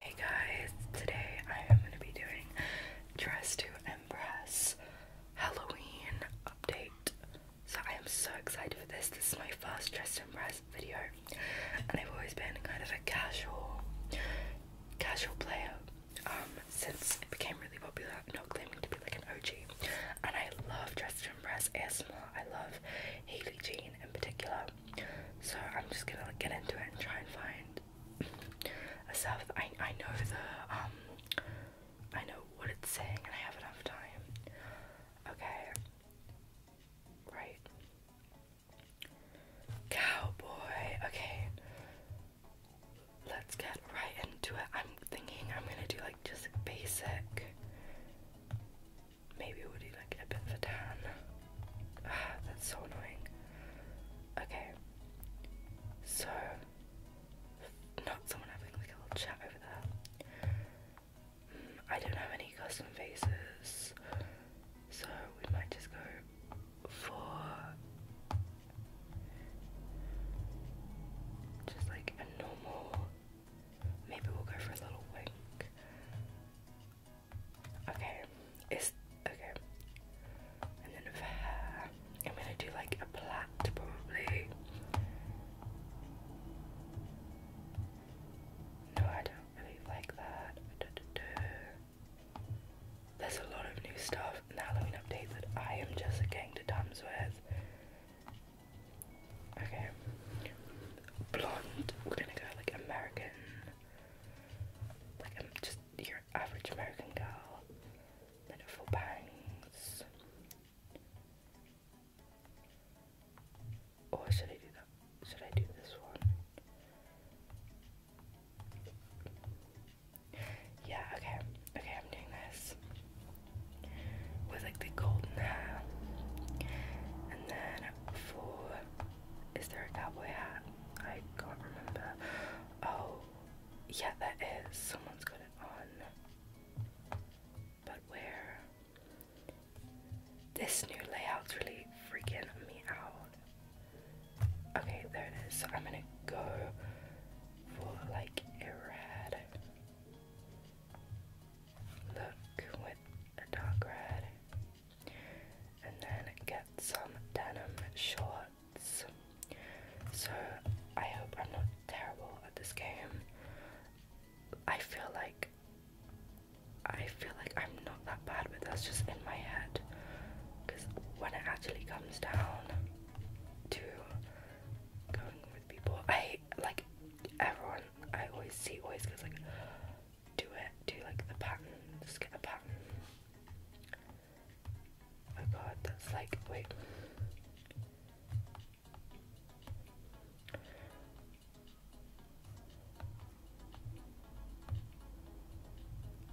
Hey guys, today I am going to be doing Dress to Impress Halloween update. So I am so excited for this. This is my first Dress to Impress video, and I've always been kind of a casual, casual player um, since it became really popular. Not claiming to be like an OG, and I love Dress to Impress ASMR. I love Haley Jean in particular. So I'm just gonna get into it and try and find a I I know the um I know what it's saying and I have enough time. Okay. Right. Cowboy. Okay. Let's get right into it. I'm thinking I'm gonna do like just basic Maybe we'll do like a bit of a tan. Ah, that's so annoying. Okay. So not someone having like a little chat over there. Hmm, I don't have any custom faces, so we might just go for just like a normal. Maybe we'll go for a little wink. Okay, it's okay. And then for hair, I'm gonna do like a plait probably. No, I don't really like that. Da, There's a lot of new stuff in the Halloween update that I am just getting to terms with. Okay, blonde. We're gonna go like American, like I'm um, just your average American girl. Beautiful bangs. Or oh, should I do that? Should I do this one? Yeah, okay. Okay, I'm doing this. With like the golden hair. And then for is there a cowboy hat? I can't remember. Oh, yeah, that is. Someone's got it on. But where? This new layout's really freaking me out. Okay, there it is. I'm gonna go for like a red look with a dark red and then get some denim shorts. So I hope I'm not terrible at this game. I feel like I feel like I'm not that bad, but that's just in my head. Because when it actually comes down to going with people, I like everyone I always see always goes like, do it, do like the pattern, just get the pattern. Oh god, that's like, wait.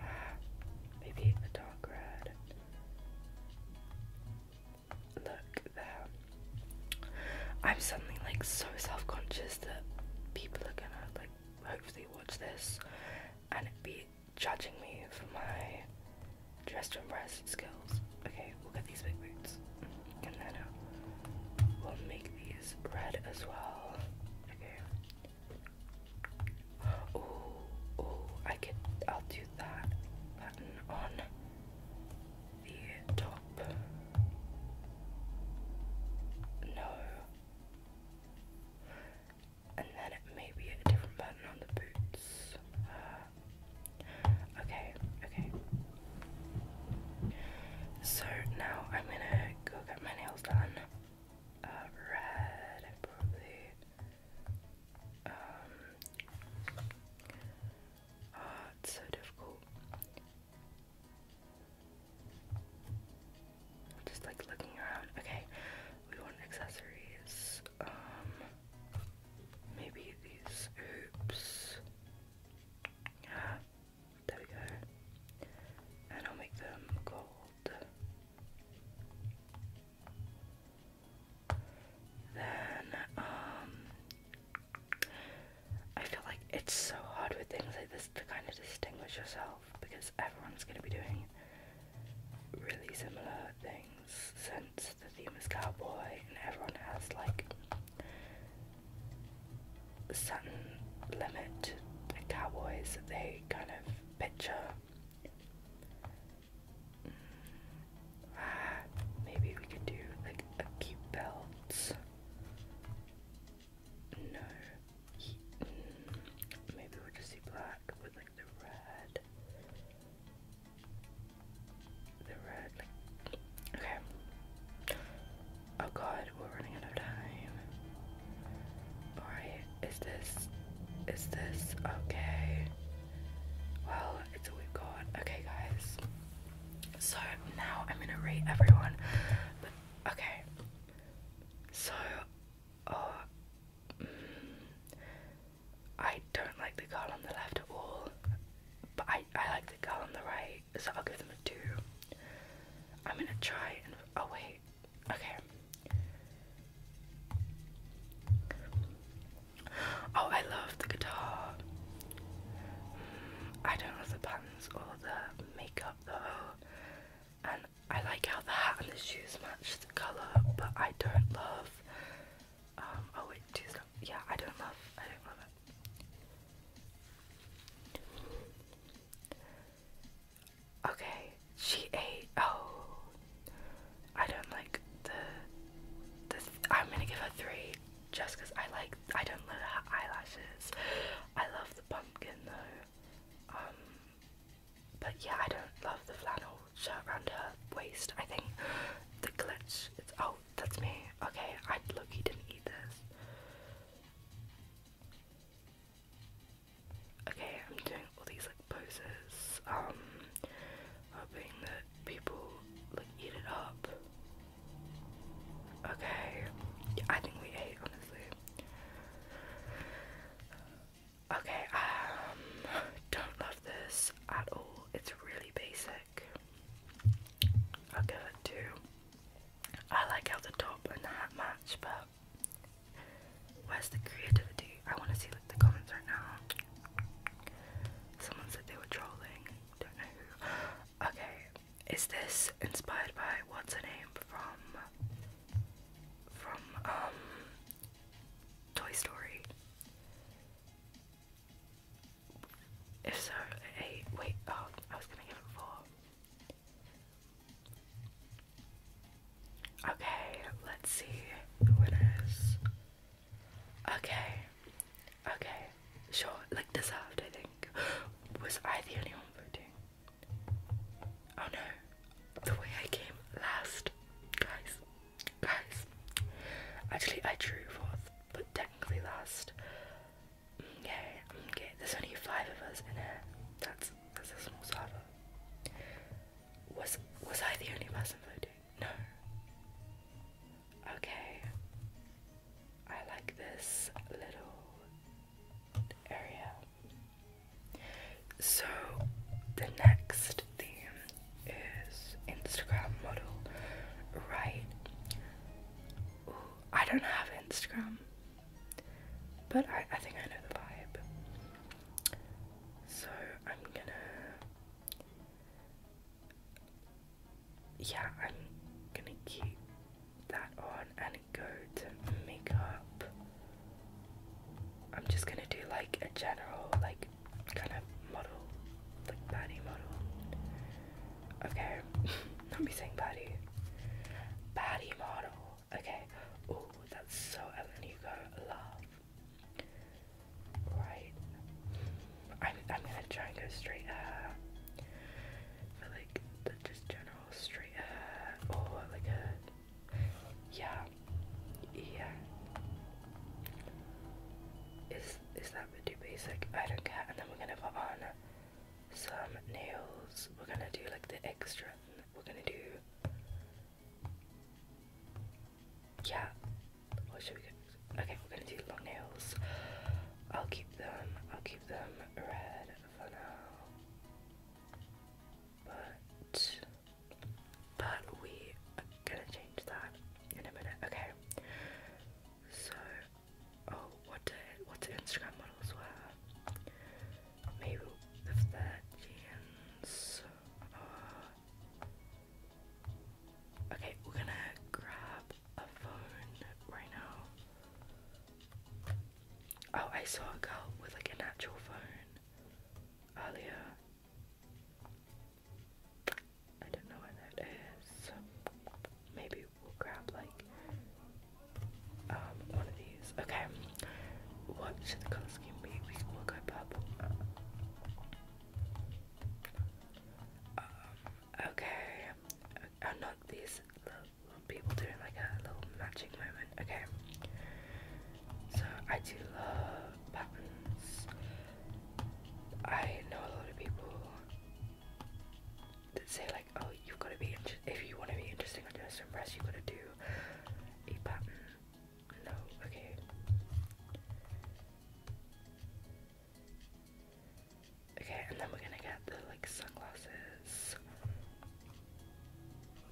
maybe a dark red. Look there. I'm suddenly like so self-conscious that people are gonna like hopefully watch this and be judging me for my dress to impress skills. Okay, we'll get these big boots, and then uh, we'll make these red as well. Okay. Oh, oh, I could. I'll do that button on the top. No. And then it may be a different pattern on the boots. Uh, okay, okay. So now I'm gonna go get my nails done. Uh, red, probably. Um, oh, it's so difficult. Just like looking around. Okay, we want accessories. Um, maybe these hoops. Yeah, there we go. And I'll make them gold. Then, um, I feel like it's so hard with things like this to kind of distinguish yourself because everyone's going to be doing really similar things since the theme is cowboy and everyone has like a certain limit of cowboys they kind of picture. Mm, ah, maybe we could do like a cute belt. No. Maybe we'll just see black with like the red. The red, like. Okay. Oh god, we're running out of time. Alright, is this. Is this okay? Well, it's all we've got. Okay, guys. So now I'm gonna rate everyone. But okay. So uh, mm, I don't like the girl on the left at all. But I, I like the girl on the right, so I'll give them a two. I'm gonna try and oh wait. Okay. Oh, I love the guitar. I don't know the pants or the makeup though, and I like how the hat and the shoes match the color, but I don't love. Um, oh wait, two's not. Yeah, I don't love. I don't love it. Okay, she ate. Oh, I don't like the. I'm gonna give her three just because I like, I don't love the eyelashes. I love the pumpkin though. Um, but yeah, I don't love the flannel shirt around her waist. I think the glitch, it's, oh, that's me. Okay, I look, he didn't eat this. Okay, I'm doing all these like poses, um, hoping that people like eat it up. Okay, I think we ate honestly. Okay, um, don't love this at all. It's really basic. I'll give it two. I like how the top and the hat match, but where's the creativity? I want to see like the comments right now. Someone said they were trolling. Okay, is this inspired by what's a name from from um Toy Story? If so, eight. Wait, oh, I was gonna give it four. Okay, let's see who it is. Okay. Okay. Sure. Like deserved, I think. Was I the only one voting? Oh no. The way I came last. Guys. Guys. Actually, I drew fourth, but technically last. Okay. Mm, okay. There's only five of us in here. That's that's a small server. Was was I the only person voting? No. Okay. I like this little area. So, the next theme is Instagram model, right? I don't have Instagram, but I, I think I know the vibe. So, I'm gonna yeah, I'm gonna keep that on and go to makeup. I'm just gonna do like a general, like kind of model, like baddie model. Okay, not be saying baddie, baddie model. Okay, oh, that's so Ellen Hugo love right. I'm, gonna try and go straight up. Uh, for like, the just general straight uh, Or like a. Yeah. Yeah. Is, is that bit too basic? I don't care. And then we're gonna put on some nails. We're gonna do like the extra. We're gonna do yeah. What should we go? Okay, we're gonna do long nails. I'll keep them. I'll keep them red for now. But but we are gonna change that in a minute. Okay. So oh, what do what do Instagram models wear? Maybe the 13s. Uh, Okay, we're gonna grab a phone right now. Oh, I saw a girl with like an actual phone earlier. I don't know what that is. Maybe we'll grab like um one of these. Okay. What should the color be? We will go purple. Uh, okay. i uh, not these people doing like a little matching moment. Okay. So I do love buttons. I know a lot of people that say like, oh, you've got to be if you want to be interesting on your impress, you've got to do a button. No, okay. Okay, and then we're gonna get the like sunglasses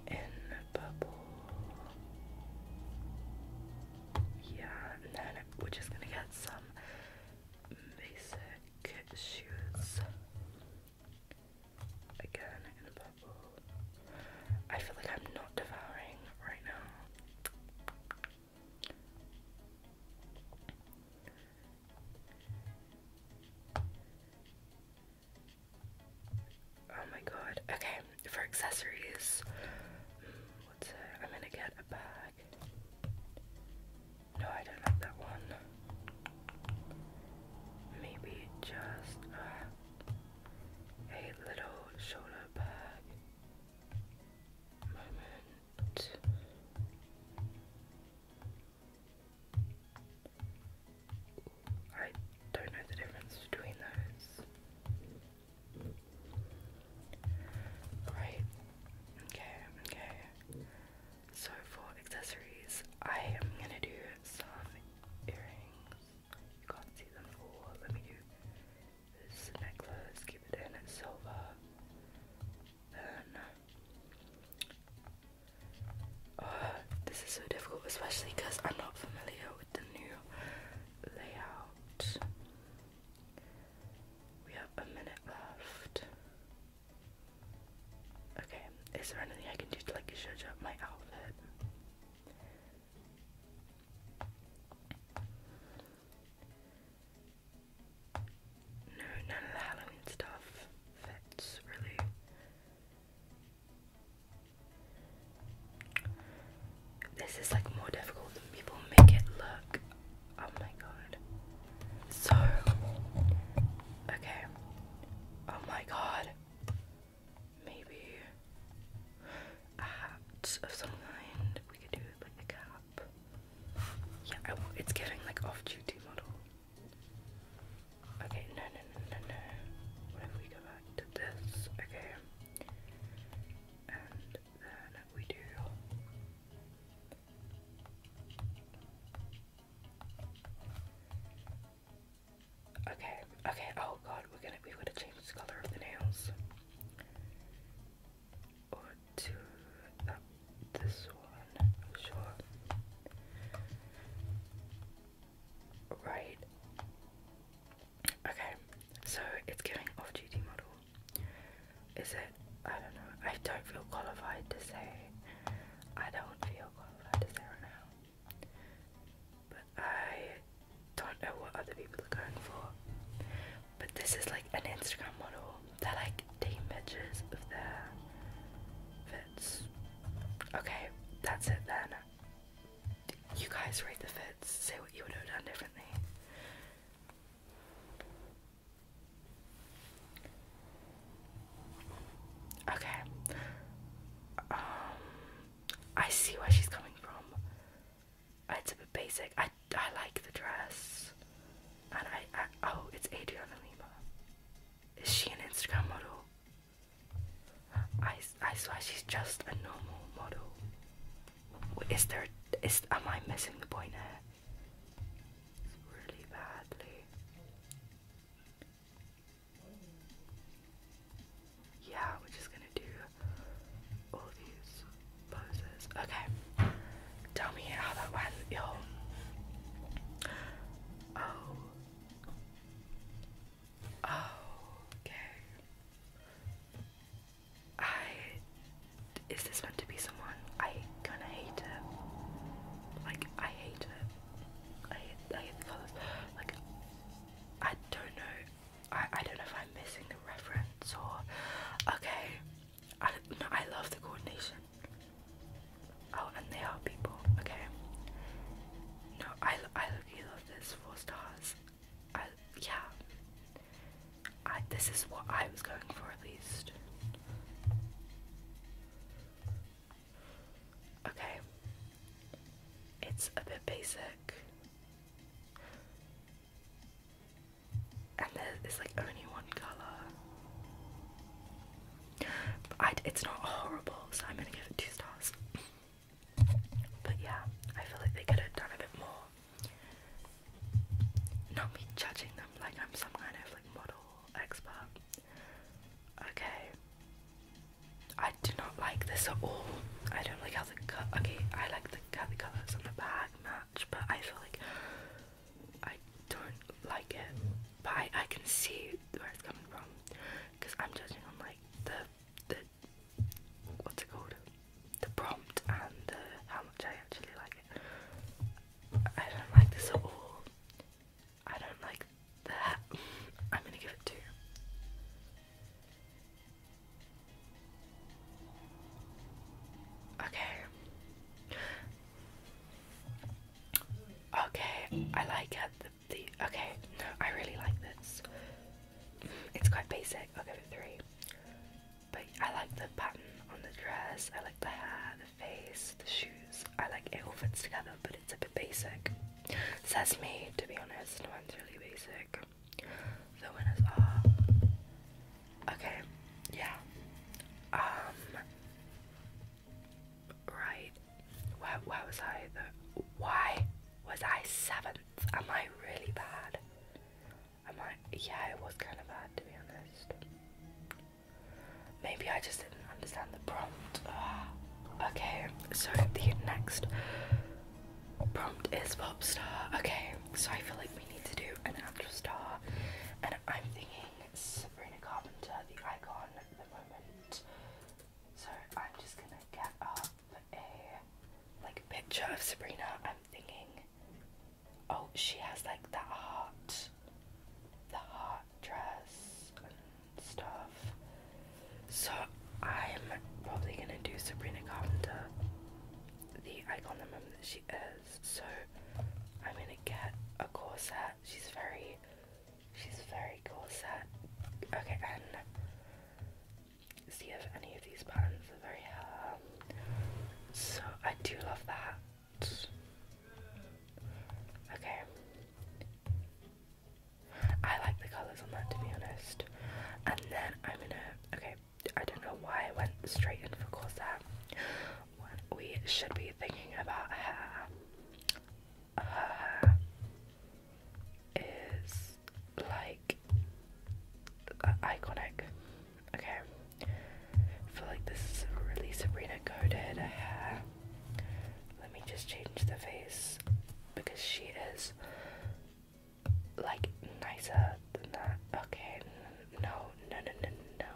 in purple. Yeah, and then we're just gonna get some basic shoes. Again in purple. I feel like I'm not devouring right now. Oh my god. Okay, for accessories, what's it? I'm gonna get a bag. No, I don't like that one. Maybe just uh, a little shoulder bag. I don't know the difference between those. Right. Okay, okay. So for accessories, I am gonna do soft earrings. You can't see them all. Let me do this necklace, keep it in, silver. Then. Uh, this is so difficult, especially because I'm not familiar with the new layout. We have a minute left. Okay, is there anything I can do to like judge up my outfit? No, none of the Halloween stuff fits really. This is like more difficult than people make it look. Oh my god. So, okay. Oh my god maybe a hat of some kind. We could do like a cap. Yeah, it's giving like off-duty model. Okay, no, no, no, no, no. What if we go back to this? Okay. And then we do. Okay. Okay, oh god, we're gonna we are going to change the colour of the nails. Or to uh, this one, sure. Right. Okay, so it's giving off duty model. Is it I don't know, I don't feel qualified to say I don't feel qualified to say right now. I don't know what other people are going for, but this is like an Instagram model. They're like taking pictures of their fits. Okay, that's it then. You guys rate the fits, say what you would have done differently. Okay. Um I see where she's coming from it's a bit basic. I, I like the dress. And I, oh, it's Adriana Lima. Is she an Instagram model? I, I swear she's just a normal model. Is there, is, am I missing the point here? Really badly yeah, we're just gonna do all these poses. Okay, tell me how that went, y'all. Oh. Oh, okay. I. Is this meant to be someone? I kinda hate it. Like, I hate it. I I don't know. I, I don't know if I'm missing the reference or okay. I I love the coordination. Oh, and they are people. Okay. No, I I love this. Four stars. I yeah. I this is what I was going for at least. Okay. It's a bit basic and there's like only one color. But it's not horrible, so I'm gonna give it two stars. But yeah, I feel like they could have done a bit more. Not me judging them like I'm some kind of like model expert. Okay, I do not like this at all. I don't like how the Okay, I like the how colors on the bag match, but I feel like I don't like it. But I, I can see where it's coming from because I'm judging on like the the what's it called the prompt and how much I actually like it. I don't like this at all. I don't like that. I'm gonna give it two. Okay. Okay, I like The, okay, I really like this. It's quite basic. i three. But I like the pattern on the dress. I like the hair, the face, the shoes. I like it all fits together, but it's a bit basic. That's me, to be honest, one's really basic. The winners are. Okay, yeah. Um. Right. Where, was I though? Why was I seventh? Am I really bad? Am I. Yeah, it was kind of bad, to be honest. Maybe I just didn't understand the prompt. Ah, okay, so the next Prompt is pop star. Okay, so I feel like we need to do an actual star, and I'm thinking Sabrina Carpenter, the icon at the moment. So I'm just gonna get a like picture of Sabrina. I'm thinking, oh, she has like the heart, the heart dress stuff. So I'm probably gonna do Sabrina Carpenter, the icon woman that she is. So I'm gonna get a corset. She's very, she's very corset. Okay, and see if any of these patterns are very So I do love that. Okay. I like the colours on that to be honest. And then I'm gonna okay, I don't know why I went straight in for Corsair. When we should be thinking about hair. Uh, is like iconic. Okay. I feel like this is really Sabrina coded hair. Let me just change the face because she is like nicer than that. Okay, no, no, no, no, no.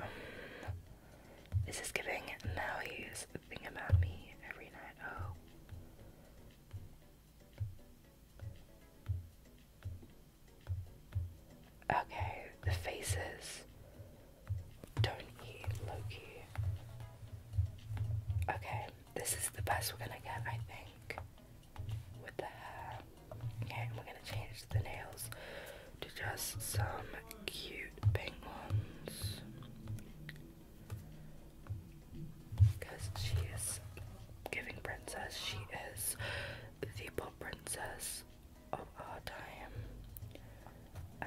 Um, this is giving now he's think about me every night. Oh. Okay, the faces. Don't eat Loki. Okay, this is the best we're gonna get, I think. With the hair. Okay, we're gonna change the nails to just some cute pink ones. Because she is giving princess, she is the bomb princess of our time. Uh,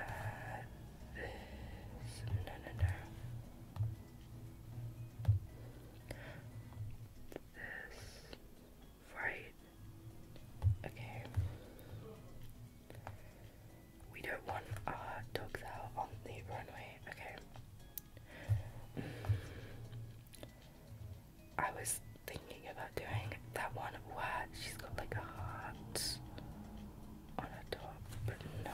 no, no, no. This. Right. Okay. We don't want our dogs out on the runway. Okay. I was thinking about doing that one where she's got like a heart on her top, but no.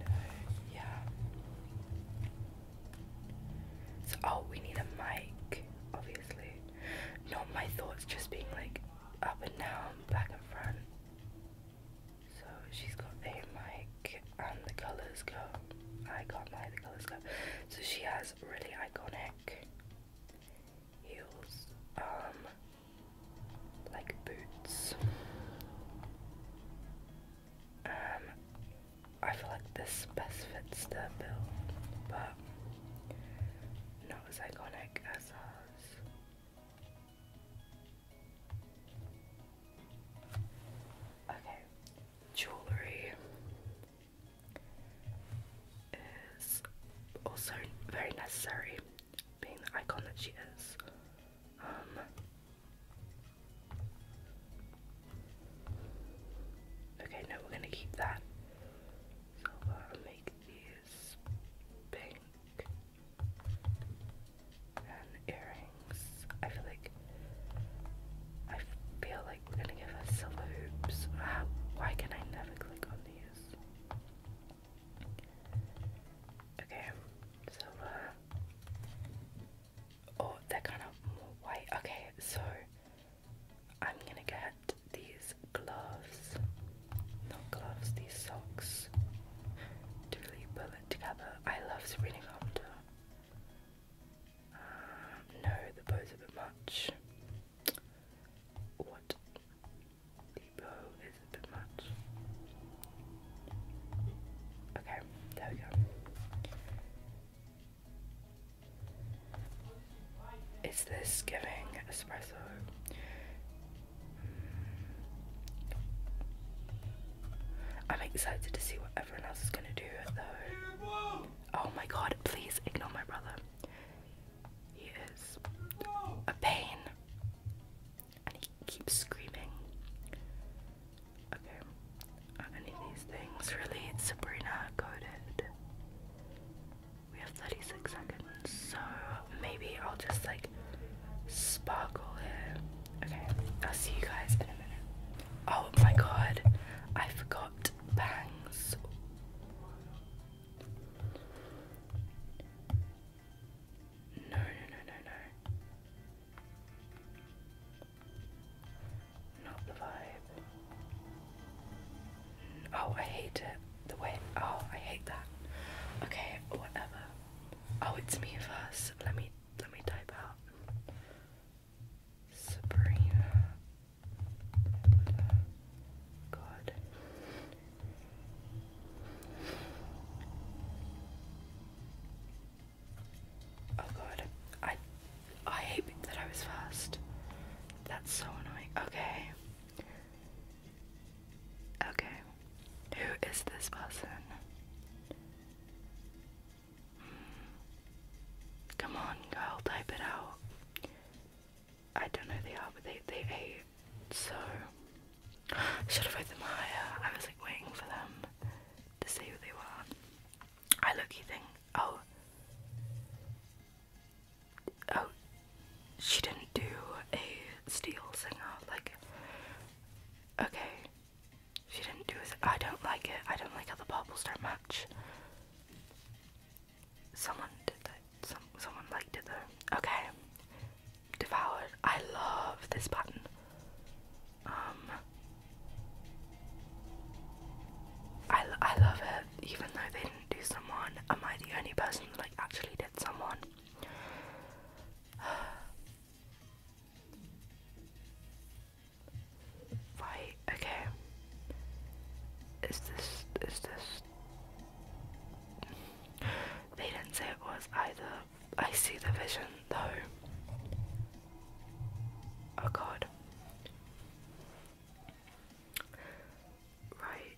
No, yeah. So, oh, we need a mic, obviously. Not my thoughts just being like up and down, back and front. So she's got a mic and um, the Colors go. I can't lie, the Colors go. So she has really iconic heels, um, like boots. Um, I feel like this best fits their build, but not as iconic as ours. Okay, jewelry is also very necessary, being the icon that she is. Um, okay, no, we're gonna keep that. So I'll uh, make these pink earrings. I feel like I feel like we're gonna give us silver hoops. How, why can I never click on these? Okay, silver. Oh, they're kind of white. Okay, so I'm gonna get these gloves. Not gloves, these socks. To pull it together. I love Sabrina Carpenter. Uh, no, the bow's a bit much. What? The bow is a bit much. Okay, there we go. Is this giving espresso? Hmm. I'm excited to see what everyone else is gonna do though. Oh my god, please ignore my brother. He is a pain. And he keeps screaming. Okay. Are any these things really Sabrina coded? We have 36 seconds, so maybe I'll just like sparkle here. Okay, I'll see you guys in a minute. Oh my god, I forgot bangs. No, no, no, no, no. Not the vibe. Oh, I hate it. The way. Oh, I hate that. Okay, whatever. Oh, it's me first. Let me let me type out Sabrina God. Oh god. I I hate that I was first. That's so annoying. Okay. Okay. Who is this person? Come on, girl, type it out. I don't know who they are, but they, they ate, so... Should have read them higher. I was like waiting for them to see who they were. I look, you oh... Oh, she didn't do a steel singer, like... Okay, she didn't do it. I don't like it. I don't like how the bubbles don't match. Someone did that. someone liked it though. Okay. Devoured. I love this button. Um. I, I love it, even though they didn't do someone. Am I the only person that like actually did someone? Right, okay. Is this, is this... They didn't say it was either. I see the vision though. Oh god. Right.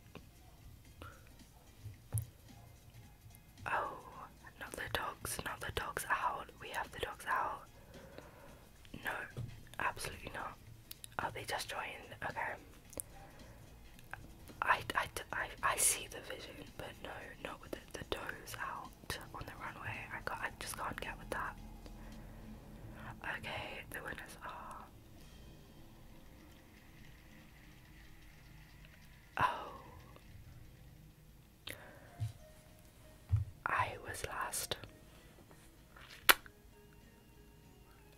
Oh, not the dogs, not the dogs out. We have the dogs out. No, absolutely not. Oh, they just joined. Okay. I, I, I, I see the vision, but no, not with the, dogs out on the runway. I, got, I just can't get with that. Okay, the winners are. Oh, I was lost.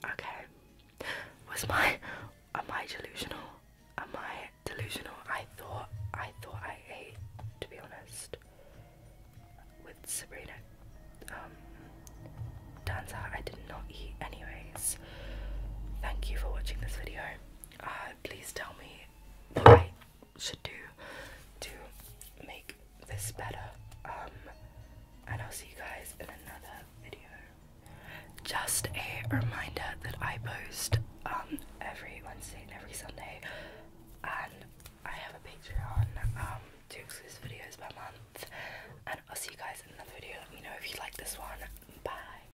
Okay. Was my am I delusional? Am I delusional? I thought I thought I ate, to be honest. With Sabrina. Um turns out I did not eat anyways. Thank you for watching this video. Uh, please tell me what I should do to make this better. Um, and I'll see you guys in another video. Just a reminder that I post um, every Wednesday and every Sunday, and I have a Patreon, um, to exclusive videos per month. And I'll see you guys in another video. Let me know if you like this one. Bye.